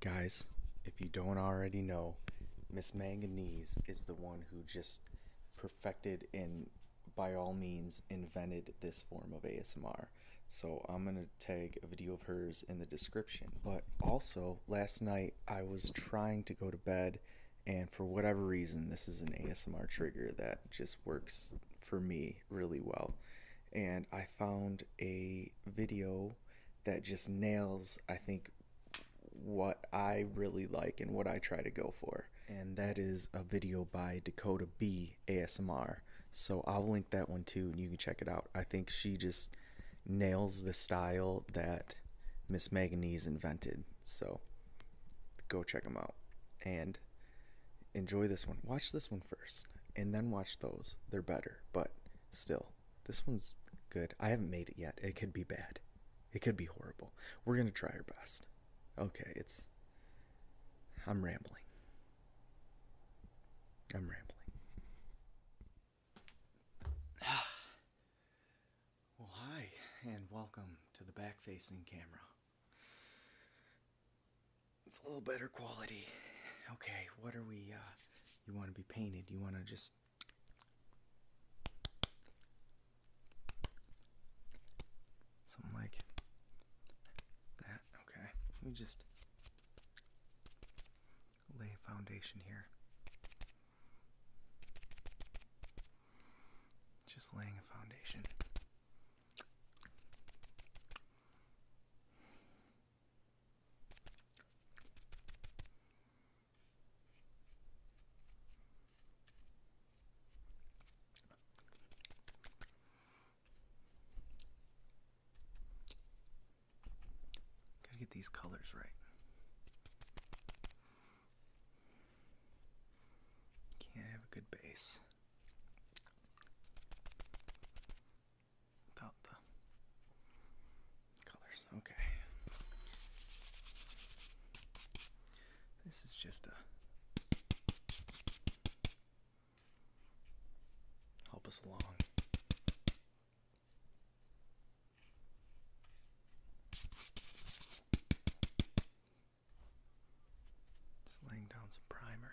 Guys, if you don't already know, Miss Manganese is the one who just perfected and by all means invented this form of ASMR. So I'm going to tag a video of hers in the description. But also, last night I was trying to go to bed and for whatever reason this is an ASMR trigger that just works for me really well. And I found a video that just nails, I think, what I really like and what I try to go for. And that is a video by Dakota B ASMR. So I'll link that one too and you can check it out. I think she just nails the style that Miss Manganese invented. So go check them out and enjoy this one. Watch this one first and then watch those. They're better, but still this one's good. I haven't made it yet. It could be bad. It could be horrible. We're going to try our best. Okay, it's. I'm rambling. I'm rambling. well, hi, and welcome to the back facing camera it's a little better quality. Okay, what are we? Uh, you want to be painted? You want to just. Something like that. Okay, we just lay a foundation here. Just laying a foundation. Gotta get these colors right. Can't have a good base without the colors. Okay. This is just a help us along. Just laying down some primer.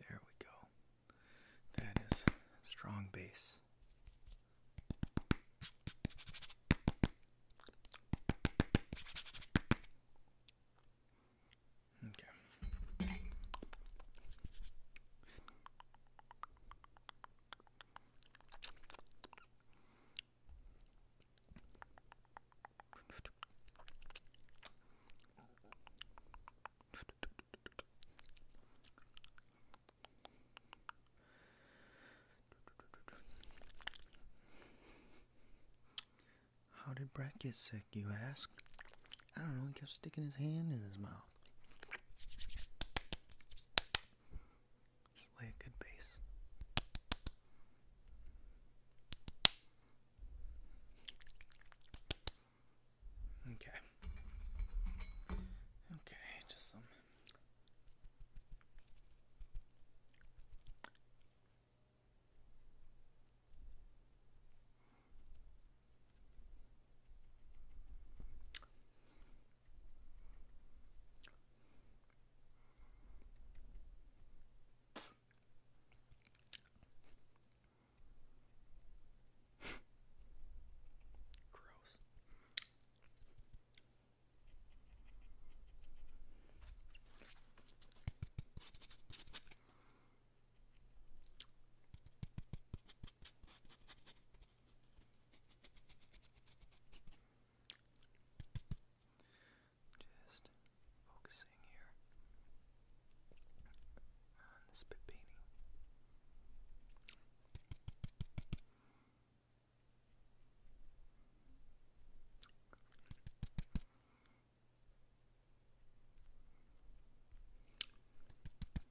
There we go. That is strong bass. Okay. How did Brett get sick, you ask? I don't know, he kept sticking his hand in his mouth. Just lay a good base. Okay. Okay, just some. Gross. Just focusing here on the spit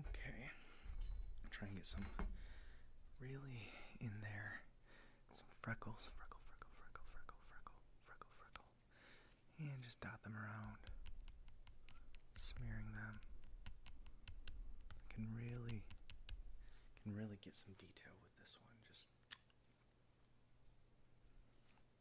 Okay. I'll try and get some really in there. Some freckles. Freckle, freckle, freckle, freckle, freckle, freckle, freckle. And just dot them around. Smearing them. I can really can really get some detail with this one. Just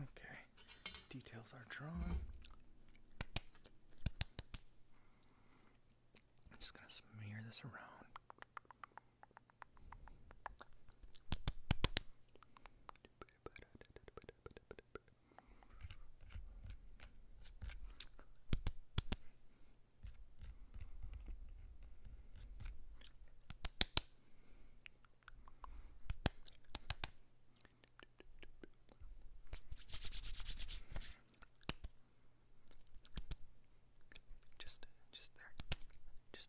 Okay, details are drawn. I'm just going to smear this around. Just, just there, just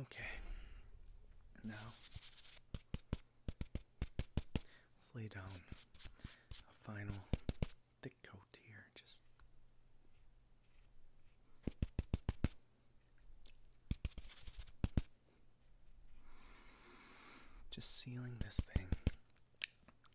Okay. Now, lay down a final thick coat here. Just. Just sealing this thing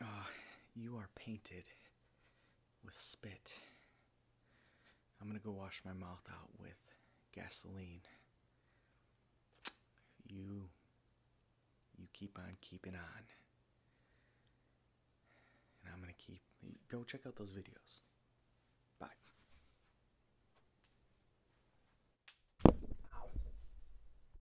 Ah, you are painted with spit. I'm gonna go wash my mouth out with gasoline. You. You keep on keeping on. And I'm gonna keep. Go check out those videos. Bye.